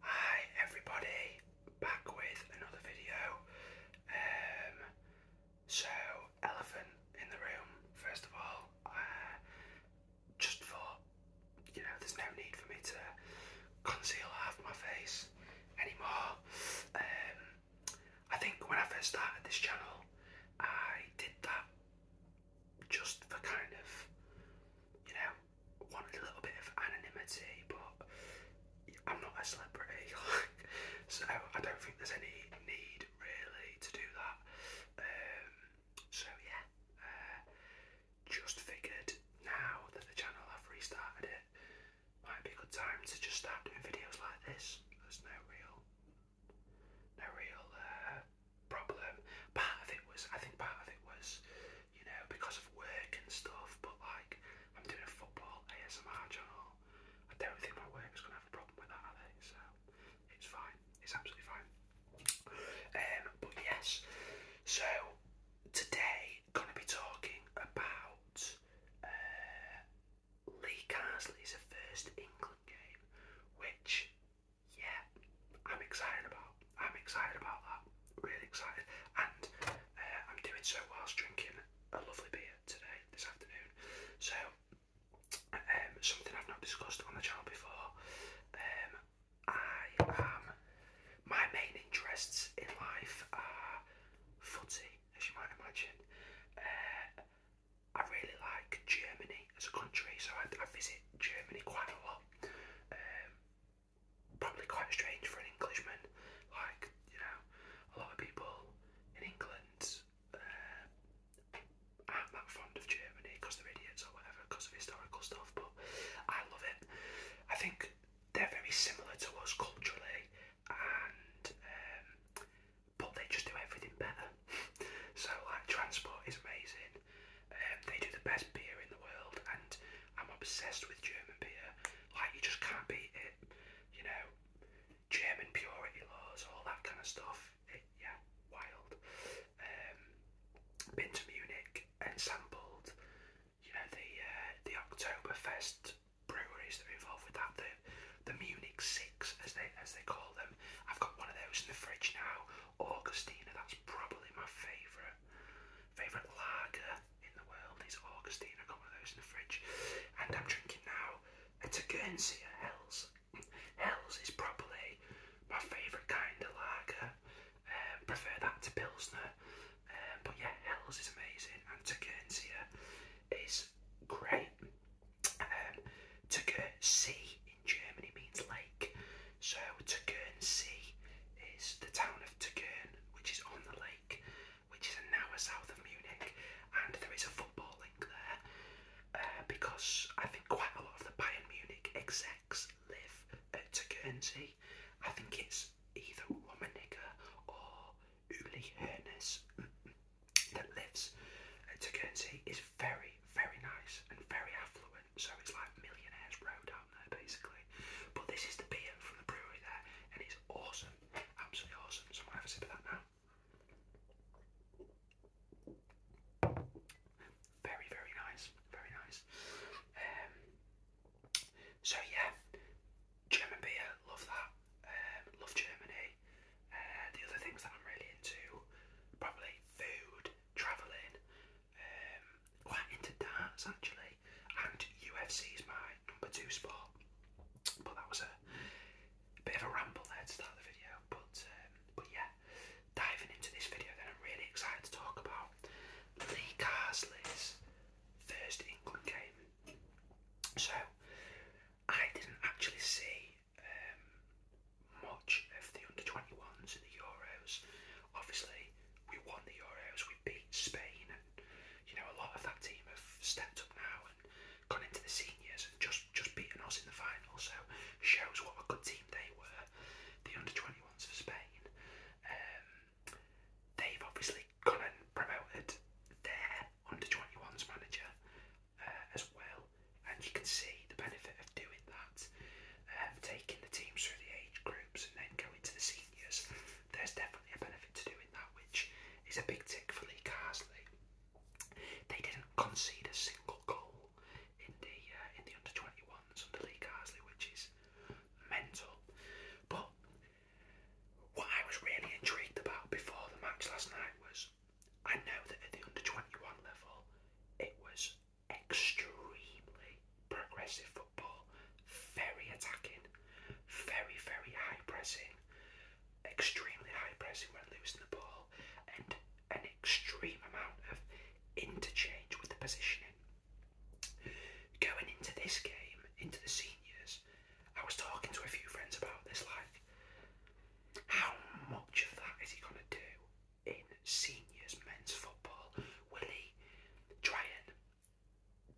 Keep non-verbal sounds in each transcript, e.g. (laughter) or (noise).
Hi everybody, back with another video. Um, so, elephant in the room, first of all, uh, just for, you know, there's no need for me to conceal half my face anymore. Um, I think when I first started this channel, I did that just for kind of, you know, wanted a little bit of anonymity, but I'm not a celebrity, (laughs) so I don't think there's any need really to do that. Um, so yeah, uh, just figured now that the channel have restarted it, might be a good time to just start doing videos like this. There's no real, no real uh, problem. Part of it was, I think, part of it was, you know, because of work and stuff. But like, I'm doing a football ASMR channel. I don't think my work is gonna have a problem with that, are they? So it's fine. It's absolutely fine. Um, but yes, so today gonna be talking about uh, Lee Carsley's first England game, which yeah, I'm excited about. I'm excited about that. Really excited, and uh, I'm doing so whilst drinking a lovely beer today this afternoon. So, um, something I've not discussed on the channel before. Um, I am. My main interests in life are footy, as you might imagine. Uh, I really like Germany as a country, so I, visit Germany quite a lot. Um, probably quite strange for an Englishman. Like, you know, a lot of people in England uh, aren't that fond of Germany because they're idiots or whatever, because of historical stuff, but I love it. I think they're very similar to us culturally, and um, but they just do everything better. (laughs) so, like, transport is amazing, um, they do the best beer in the world, and I'm obsessed with German beer. Like, you just can't beat it. You know, German purity laws, all that kind of stuff. It, yeah, wild. Um, been to Munich and sampled, you know, the uh, the Oktoberfest breweries that are involved with that. The the Munich Six, as they as they call them. I've got one of those in the fridge now. Augustina, that's probably my favourite favourite lager in the world is Augustine. I got one of those in the fridge, and I'm drinking now. It's a Guernsey Hells. Hells is probably my favourite kind of lager. Um, prefer that to Pilsner, um, but yeah, Hells is amazing, and Tegernsee is great. Um, Tegernsee Germany means lake. So Tegernsee is the town of Tegern, which is on the lake, which is an hour south of Munich, and there is a football link there uh, because I think quite a lot of the Bayern Munich execs live at Tegernsee. I think it's either Rummenigge or Uli Hoeneß that lives at Tegernsee. is very, very nice and very affluent. So it's like Millionaire's Road out there basically. But this is the beer from the brewery there and it's awesome. Absolutely awesome. So I'm going to have a sip of that now. Very, very nice. Very nice. Um, so yeah, German beer, love that. Um, love Germany. Uh, the other things that I'm really into, probably food, travelling, um, quite into darts actually, and UFC is my number two sport. But that was a, bit of a ramble there to start the video. But um, but yeah, diving into this video, that I'm really excited to talk about Lee Carsley's first England game. So I didn't actually see um, much of the under 21s in the Euros. Obviously, we won the Euros, we beat Spain, and you know, a lot of that team have stepped up now and gone into the seniors and just, just beaten us in the final, so shows what a good team they were. The under 21s of Spain. Um, they've obviously gone and promoted their under 21s manager uh, as well and you can see the benefit of doing that. Um, taking the teams through the age groups and then going to the seniors, there's definitely a benefit to doing that, which is a big tick for Lee Carsley. They didn't concede a single goal in the uh, in the under 21s under Lee Carsley, which is mental. But what I was really intrigued about before the match last night was I know that at the under 21 level it was extremely progressive football, very attacking, very, very high pressing, extremely high pressing when losing the ball, and an extreme amount of interchange with the positioning. Going into this game, into the seniors, I was talking to a few friends about this like, how much of that is he going to do? in seniors men's football? Will he try and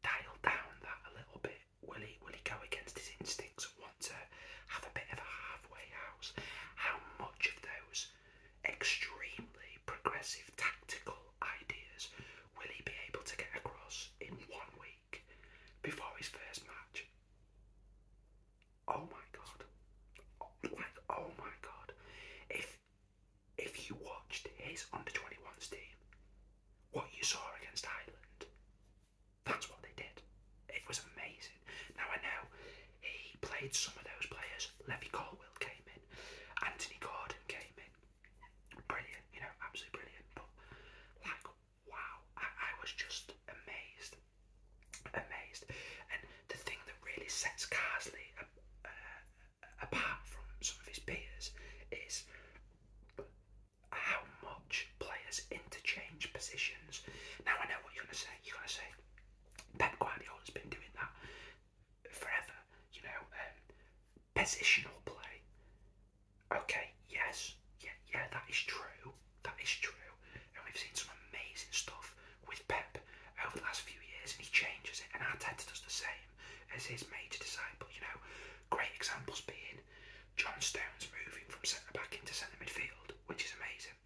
dial down that a little bit? Will he will he go against his instincts and want to have a bit of a halfway house? How much of those extremely progressive tactical ideas will he be able to get across in one week before his first match? oh my god, like oh, oh my god, if if you watched his under 21s team, what you saw against Ireland, that's what they did. It was amazing. Now I know he played some of those players. Levy Caldwell came in, Anthony Gordon came in, brilliant, you know, absolutely brilliant. But like, wow, I was just amazed amazed. And the thing that really sets Carsley apart from some of his peers is how much players interchange positions. Now I know what you're going to say. You're going to say Pep Guardiola's been doing that forever. You know, um, positional play. Okay, yes, yeah, yeah, that is true. That is true. And we've seen some amazing stuff with Pep over the last few years, and he changes it. And our Arteta does the same as his major disciple. You know, great examples being John Stones moving from centre back into centre midfield, which is amazing.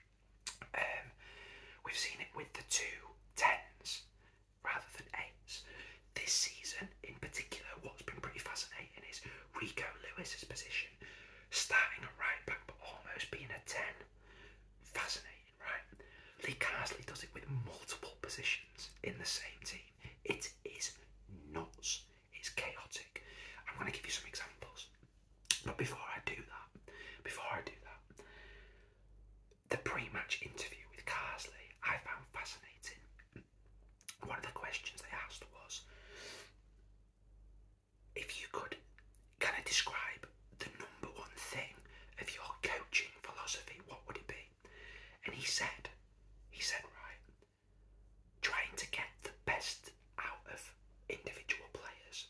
Um, we've seen it with the two tens rather than eights. This season, in particular, what's been pretty fascinating is Rico Lewis's position, starting a right back but almost being a ten Fascinating, right? Lee Carsley does it with multiple positions in the same team. It is nuts. It's chaotic. I'm going to give you some examples. But before I do that, before I do that, the pre-match interview with Carsley I found fascinating. One of the questions they asked was, if you could can I describe the number one thing of your coaching philosophy, what would it be? And he said, he said, right, trying to get the best out of individual players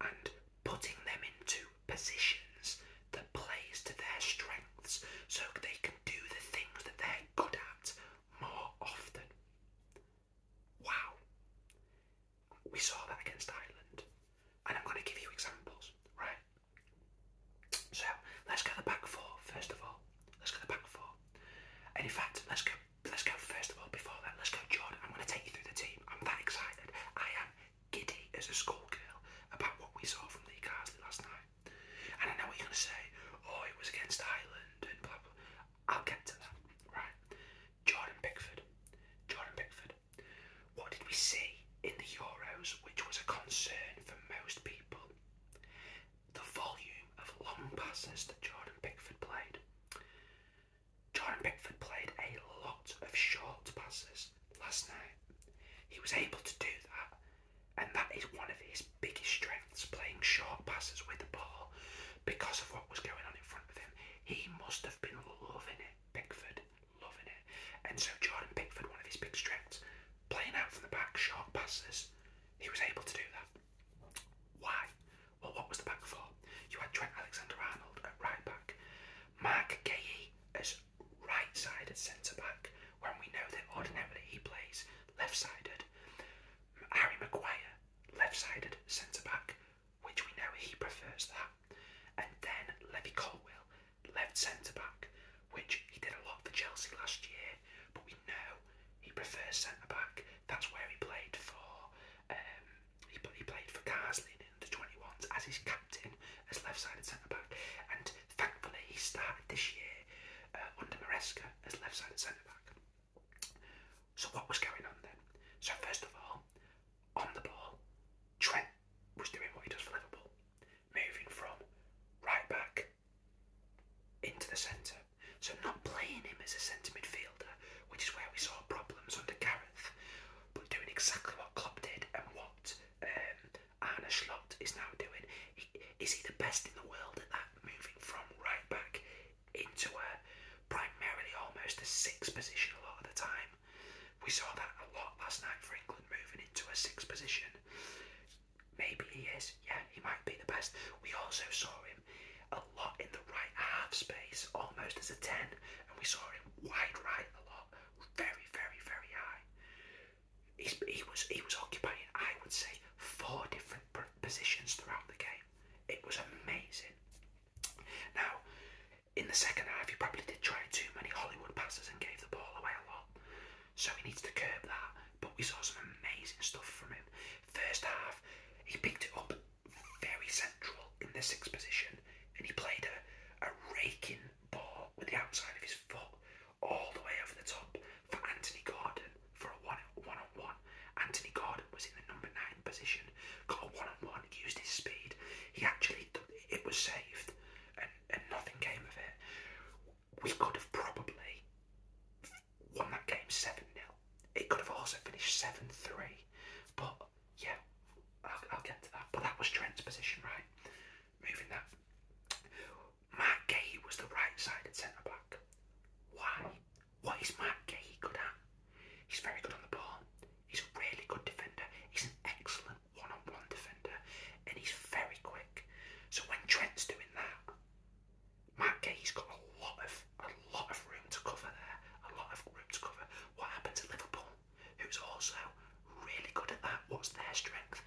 and putting them into positions that plays to their strengths so they can do the things that they're good at more often. Wow. We saw that against Ireland. And I'm going to give you examples, right? So let's get the back four first of all. Let's get the back four. And in fact, let's go. Let's go first of all. Before that, let's go, Jordan. I'm going to take you through the team. I'm that excited. I am giddy as a schoolgirl about what we saw from Lee Carsley last night. And I know what you're going to say. Oh, it was against Ireland and blah blah. I'll get to that, right? Jordan Pickford. Jordan Pickford. What did we see in the Euros, which was a concern for most people? The volume of long passes that Jordan Pickford played. Jordan Pickford played a lot of short passes last night. He was able to do that, and that is one of his biggest strengths playing short passes with the ball because of what was going on in front of him. He must have been loving it, Pickford, loving it. And so Jordan Pickford, one of his big strengths, playing out from the back, short passes, he was able to do that. Why? Well, what was the back for? You had Trent Alexander-Arnold at right back, Mark Gay as right-sided centre-back, when we know that ordinarily he plays left-sided, Harry Maguire, left-sided centre-back, which we know he prefers that. And then Levy Colwell, left centre back, which he did a lot for Chelsea last year, but we know he prefers centre back. That's where he played for. Um, he, played for Carsley in the 21s as his captain, as left-sided centre back, and thankfully he started this year uh, under Maresca as left-sided centre back. So what was going on then? So first of all, on the ball, Trent was doing what he does for Liverpool, moving from right back into the centre. So not playing him as a centre midfielder, which is where we saw problems under Gareth, but doing exactly what Klopp did and what um, Schlot is now doing. is he the best in the world at that? Moving from right back into a primarily almost a six position a lot of the time. We saw that a lot last night for England moving into a six position. Maybe he is, yeah, he might be the best. We also saw him a lot in the right half space, almost as a 10, and we saw him wide right a lot, very, very, very high. he was he was occupying, I would say, four different positions throughout the game. It was amazing. Now, in the second half, he probably did try too many Hollywood passes and gave the ball away a lot. So he needs to curb that. But we saw some amazing stuff from him. First half, he picked it up very central in the sixth position and he played a, a raking ball with the outside of his foot all the way over the top for Anthony Gordon for a one, on one. Anthony Gordon was in the number nine position, got a one on one, used his speed. He actually, it was saved, and, and nothing came of it. We could have probably won that game 7 0. It could have also finished 7 3. But yeah, I'll, I'll get to that. But that was Trent's position, right? Moving that. Matt Gay was the right sided centre back. Why? What is Matt Gay good at? He's very good on the ball. He's a really good defender. He's an excellent one-on-one defender, and he's very quick. So when Trent's doing that, Matt Gay's got a lot of a lot of room to cover there. A lot of room to cover. What happened to Liverpool, who's also really good at that? What's their strength?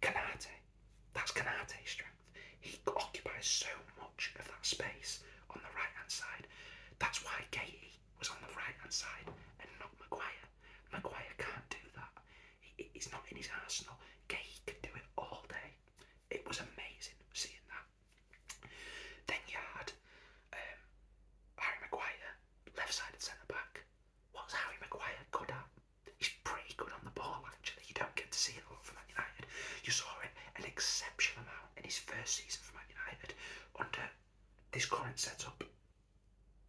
Kanate. That's Canate's strength. He occupies so much of that space on the right hand side. That's why Katie was on the right hand side and not Maguire. Maguire can't do that. He's not in his arsenal. Katie could do it all day. It was amazing seeing that. Then you had um, Harry Maguire, left sided centre back. What's Harry Maguire good at? He's pretty good on the ball, actually. You don't get to see it a lot Man United. You saw it an exceptional amount in his first season for Man United. Under this current setup,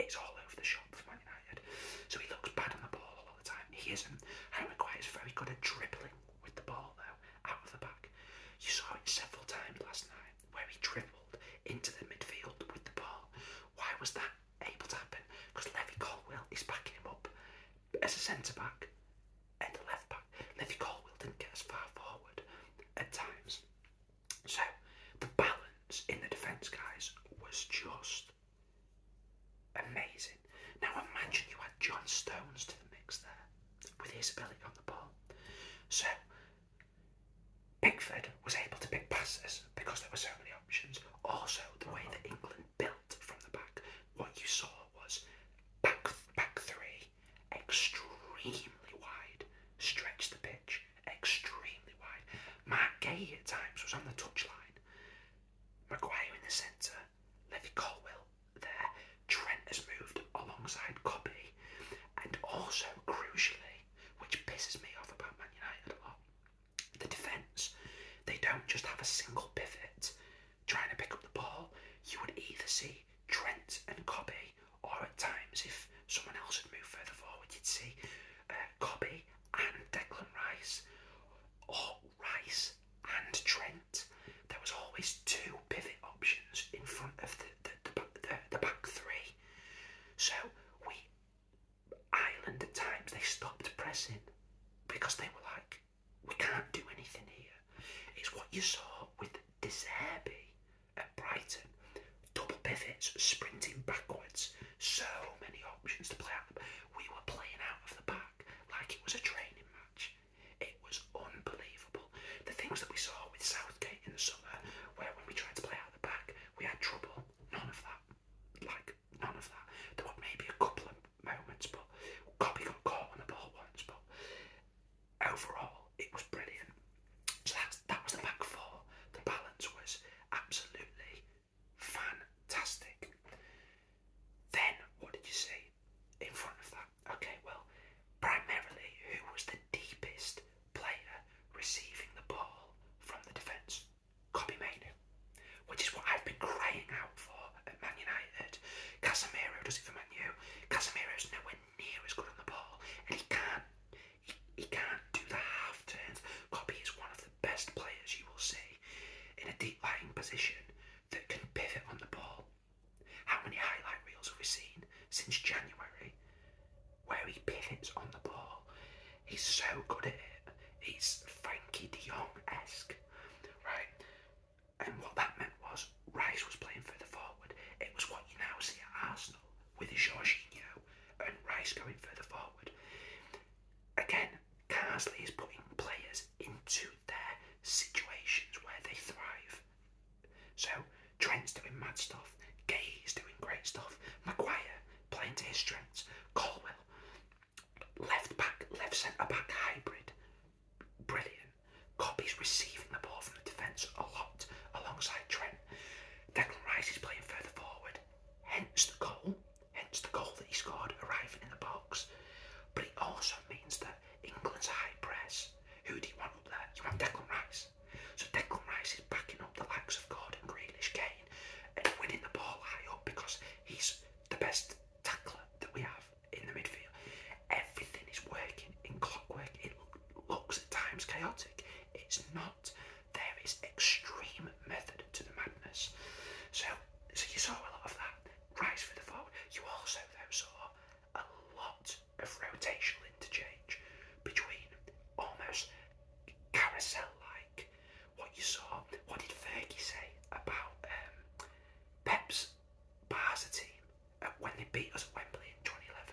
it's all over the shop for Man United. So he looks bad on the ball all the time. He isn't. Harry Maguire is very good at dribbling with the ball though, out of the back. You saw it several times last night where he dribbled into the midfield with the ball. Why was that able to happen? Because Levy Colwell is backing him up But as a centre back at the left back. Livy Caldwell didn't get as far forward at times. So the balance in the defence, guys, was just amazing. Now imagine you had John Stones to the mix there with his ability on the ball. So Pickford was able to pick passes because there were so many options. Also, the way that England built from the back what you saw was back, back three, extremely wide, stretched the pitch, extremely wide. Mark Gay at times was on the touchline. Maguire in the centre, Levy Colwell there. Trent has moved alongside Copy, and also crucially, which pisses me off about Man United a lot, the defence. They don't just have a single pivot trying to pick up the ball, you would either see Trent and Cobby, or at times, if someone else had moved further forward, you'd see uh, and Declan Rice, or oh, Rice and Trent. There was always two pivot options in front of the the, the, back three. So we Ireland at times they stopped pressing because they were like, we can't do anything here. It's what you saw with Deserby at Brighton. Double pivots, sprinting backwards, so many options to play out. We were playing out of the back like it was a training match. It was unbelievable. The things that we saw with Southgate in the summer, where when we tried to play out of the back, we had trouble. None of that. Like, none of that. There were maybe a couple of moments, but Cobby got caught on the ball once. But overall, it was brilliant. So that's, that was the back four. The balance was absolutely fantastic. Then, what did you see in front of that? Okay, well, primarily, who was the deepest player receiving the ball from the defence? Kobe Mainu, which is what I've been crying out for at Man United. Casemiro does it for Man U. is nowhere near as good on the ball, and he can't. He, can't do the half turns. Copy is one of the best players you will see in a deep lying position that can pivot on the ball. How many highlight reels have we seen since January where he pivots on the ball? He's so good at it. He's Frankie de Jong esque right? And what that meant was Rice was playing further forward. It was what you now see at Arsenal with Jorginho and Rice going further forward. Again, Carsley is putting players into their situations where they thrive. So Trent's doing mad stuff, is doing great stuff, Maguire playing to his strengths, Colwell Left back, left centre back hybrid, brilliant. Copies receiving the ball from the defence a lot alongside Trent. Declan Rice is playing further forward, hence the goal, hence the goal that he scored arriving in the box. But it also means that England's high press, who do you want up there? You want Declan Rice. So Declan Rice is backing up the likes of Gordon, Grealish, Kane, and winning the ball high up because he's the best tackler that we have in the midfield. Everything is working in clockwork. It looks at times chaotic. It's not. There is extreme method to the madness. So, so you saw a lot of that rise for the forward. You also though saw a lot of rotational interchange between almost carousel-like what you saw. What did Fergie say about um, Pep's Barca team when they beat us at Wembley in 2011?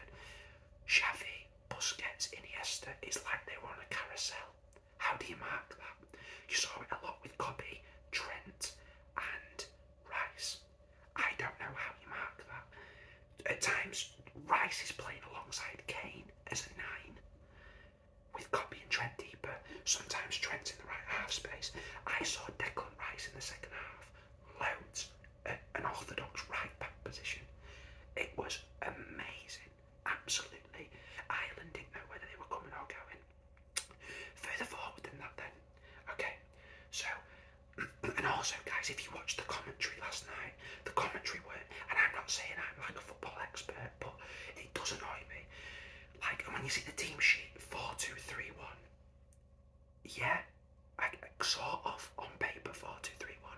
Xavi, Busquets, Iniesta, it's like they were on a carousel. How do you mark that? You saw it a lot with Cobby, Trent, and Rice. I don't know how you mark that. At times, Rice is playing alongside Kane as a nine with copy and Trent deeper, sometimes Trent in the right half space. I saw Declan Rice in the second half, loads, at an orthodox right back position. It was amazing, absolutely. Ireland didn't know whether they were coming or going. Further forward than that, then. Okay, so, (clears throat) and also, guys, if you watched the commentary last night, the commentary weren't, and I'm not saying I'm like a football expert, but it does annoy me like, and when you see the team sheet, 4 2 3 1, yeah, I, I sort of on paper 4 2 3 1.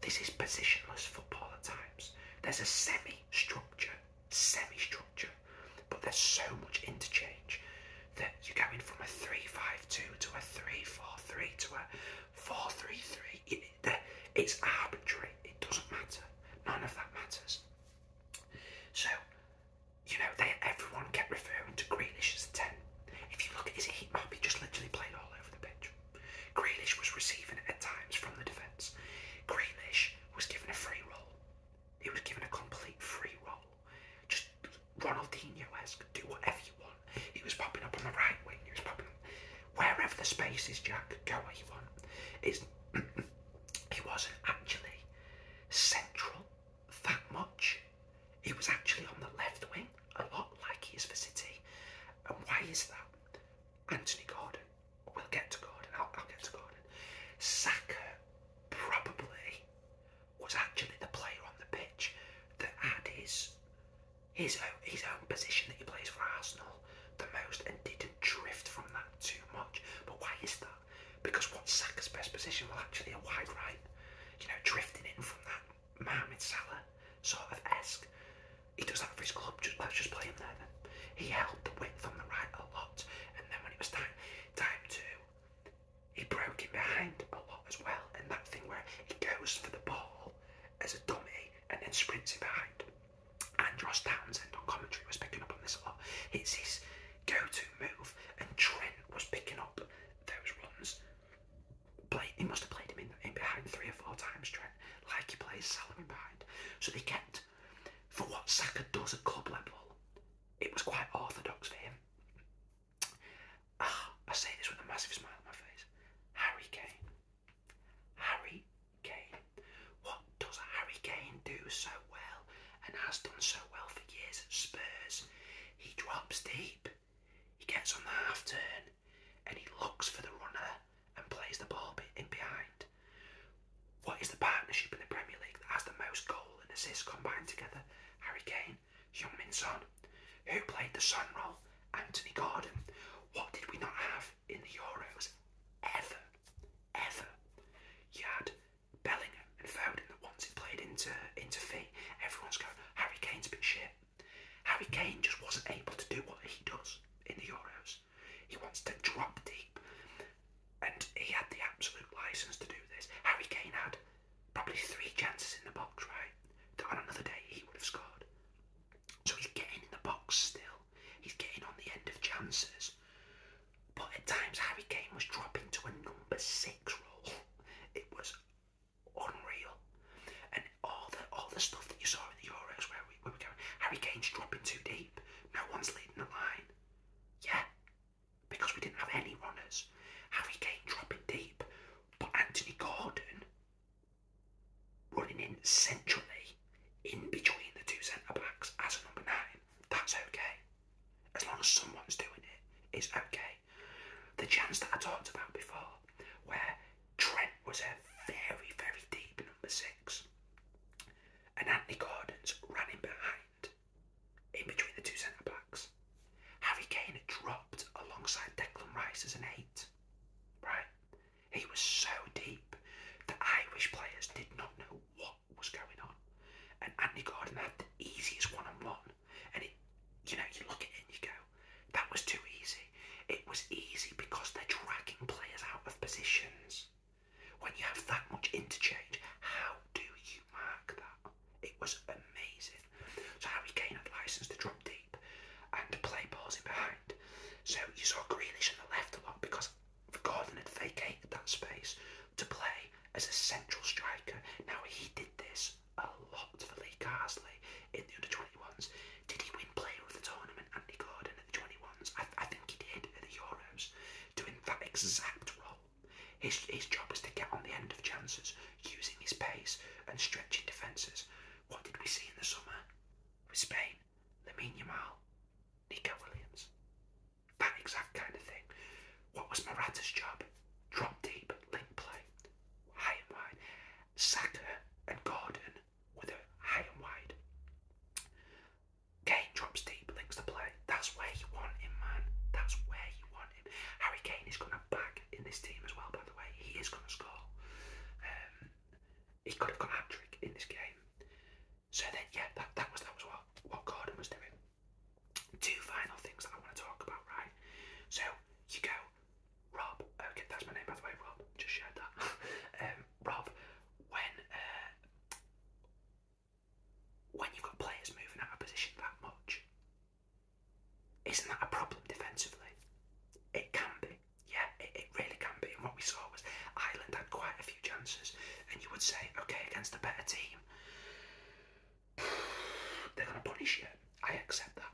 This is positionless football at times. There's a semi structure, semi structure, but there's so much interchange that you're going from a 3 5 2 to a 3 4 3 to a 4 3 3 it's arbitrary. It doesn't matter. None of that matters. So, you know, they, everyone kept referring to Grealish as a 10. If you look at his heat map, he just literally played all over the pitch. Grealish was receiving at times from the defence. Grealish was given a free roll. He was given a complete free roll. Just Ronaldinho-esque, has do whatever you want. He was popping up on the right wing. He was popping up wherever the space is, Jack, go where you want. It's, (clears throat) it wasn't actually central that much. It was actually on the left wing a lot, like he is for City. And why is that? Anthony Gordon. We'll get to Gordon. I'll, I'll get to Gordon. Saka probably was actually the player on the pitch that had his his own, his own position that he plays for Arsenal the most and didn't drift from that too much. But why is that? Because what's Saka's best position? Well, actually, a wide right. You know, drifting in from that Mohamed Salah sort of esque. He does that for his club. Just, let's just play him there then. He held the width on the right a lot, and then when it was time time to, he broke in behind a lot as well. And that thing where he goes for the ball as a dummy and then sprints in behind. And Ross Townsend on commentary was picking up on this a lot. It's his go-to move, and Trent was picking up those runs. Play, he must have played him in, behind three or four times, Trent, like he plays Salam in behind. So they kept, for what Saka does at club level, it was quite orthodox for him. Ah, I say this with a massive smile on my face. Harry Kane. Harry Kane. What does Harry Kane do so well and has done so well for years at Spurs? He drops deep, he gets on the half turn, and he looks for the runner and plays the ball in behind. What is the partnership in the Premier League that has the most goal and assists combined together? Harry Kane, heung Who played the Sun role? Anthony Gordon. What did we not have? in the Euros ever, ever. You had Bellingham and Foden that once it played into into fee, everyone's going, Harry Kane's been shit. Harry Kane just wasn't able to do what he does in the Euros. He wants to drop deep. And he had the absolute license to do this. Harry Kane had probably three chances in the box, right? on another day he would have scored. So he's getting in the box still. He's getting on the end of chances. But at times Harry Kane was dropping to a number six role. It was unreal. And all the all the stuff that you saw in the Euros where we, we were going, Harry Kane's dropping too deep. No one's leading the line. Yeah. Because we didn't have any runners. Harry Kane dropping deep. But Anthony Gordon running in centrally in between the two centre backs as a number nine, that's okay. As long as someone's doing it, it's okay. The chance that I talked about before, where Trent was a very, very deep number six, and Anthony Gordon's running behind, in between the two centre backs. Harry Kane dropped alongside Declan Rice as an eight, right? He was so deep that Irish players did not know what was going on. And Andy Gordon had the easiest one on one. And it, you know, you look at it and you go, that was too easy. It was easy because they're dragging players out of positions. When you have that much interchange, how do you mark that? It was amazing. So Harry Kane had license to drop deep and to play balls in behind. So you saw Greenish on the left a lot because Gordon had vacated that space to play as a central striker. Now he did this a lot for Lee Carsley in the under 21s. Did he win player of the tournament, Andy Gordon, at the 21s? I, think he did at the Euros, doing that exact role. His, his job was to get on the end of chances using his pace and stretching defences. What did we see in the summer? with Spain, Lamine Nico Williams. That exact kind of thing. What was Morata's job? Drop deep, link play, high and wide. Saka and Gordon with a high and wide. Kane drops deep, links the play. That's where he want him, man. That's where you want him. Harry Kane is going to back in this team as well, by the way. He is going to score. Um, he could have got a hat trick in this game. So then, yeah, that, that was that was what what Gordon was doing. Two final things that I want to talk about, right? So you go, Rob. Okay, that's my name by the way, Rob. Just shared that. (laughs) um, Rob, when uh, when you've got players moving out of position that much, isn't that a problem defensively? It can be. Yeah, it, it really can be. And what we saw was Ireland had quite a few chances, and you would say, okay, against a better team, (sighs) they're going to punish you. I accept that.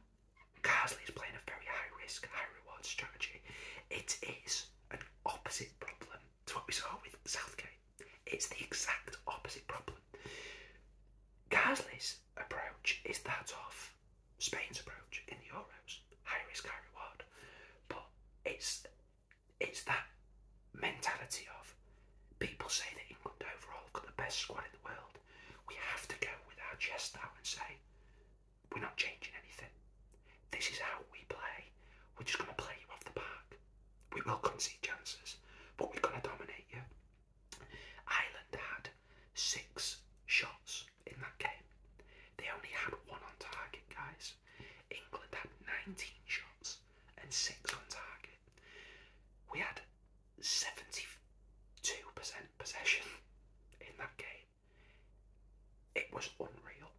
Carsley is playing a very high risk, high reward strategy. It is an opposite problem to what we saw with Southgate. It's the exact opposite problem. Carsley's approach is that of Spain's approach in the Euros. High risk, high reward. But it's it's that mentality of people say that England overall have got the best squad in the world. We have to go with our chest out and say, we're not changing anything. This is how we play. We're just going to play you off the park. We will concede chances, but we're going to dominate you. Ireland had six shots in that game. They only had one on target, guys. England had 19 shots and 6 on target. We had 72% possession in that game. It was unreal.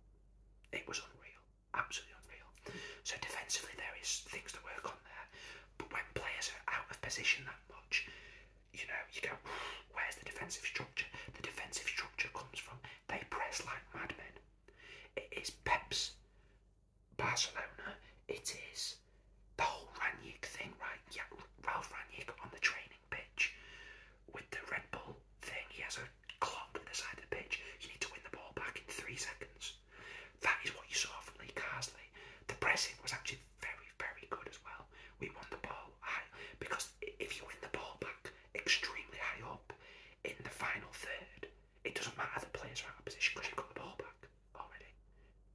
It was unreal. Absolutely unreal. So defensively there is things to work on there. But when players are out of position that much, you know, you go, (sighs) where's the defensive structure? The defensive structure comes from they press like madmen. It is Pep's Barcelona. It is the whole Ranić thing, right? Yeah, Ralph Ranić on the training pitch with the Red Bull thing. He has a clock on the side of the pitch. You need to win the ball back in three seconds. That is what you saw from Lee Carsley. The pressing was actually very, very good as well. We won the ball high because if you win the ball back extremely high up in the final third, it doesn't matter the players are out of position because you got the ball back already.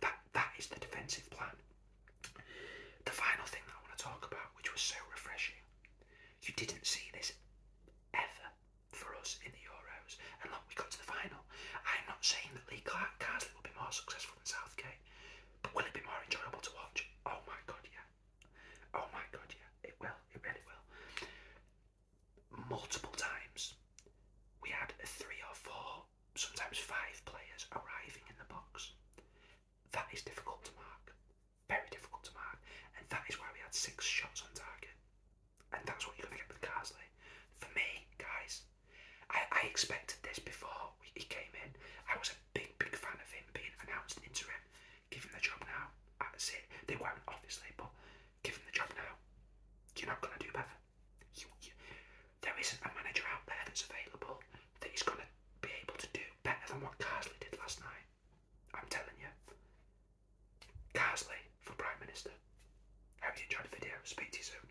That that is the defensive plan. The final thing I want to talk about, which was so refreshing, you didn't see this ever for us in the Euros, and look, we got to the final. I'm not saying that Lee Carsley will be more successful than Southgate. Will it be more enjoyable to watch? Oh my god, yeah. Oh my god, yeah. It will. It really will. Multiple times, we had three or four, sometimes five players arriving in the box. That is difficult to mark. Very difficult to mark. And that is why we had six shots on target. And that's what you're going to get with Carsley. For me, guys, I, expected this before he came in. I was a big, big fan of him being announced interim. Give him the job now. That's it. They won't, obviously, but give him the job now. You're not going to do better. there isn't a manager out there that's available that is going to be able to do better than what Carsley did last night. I'm telling you. Carsley for Prime Minister. I hope you enjoyed the video. Speak to you soon.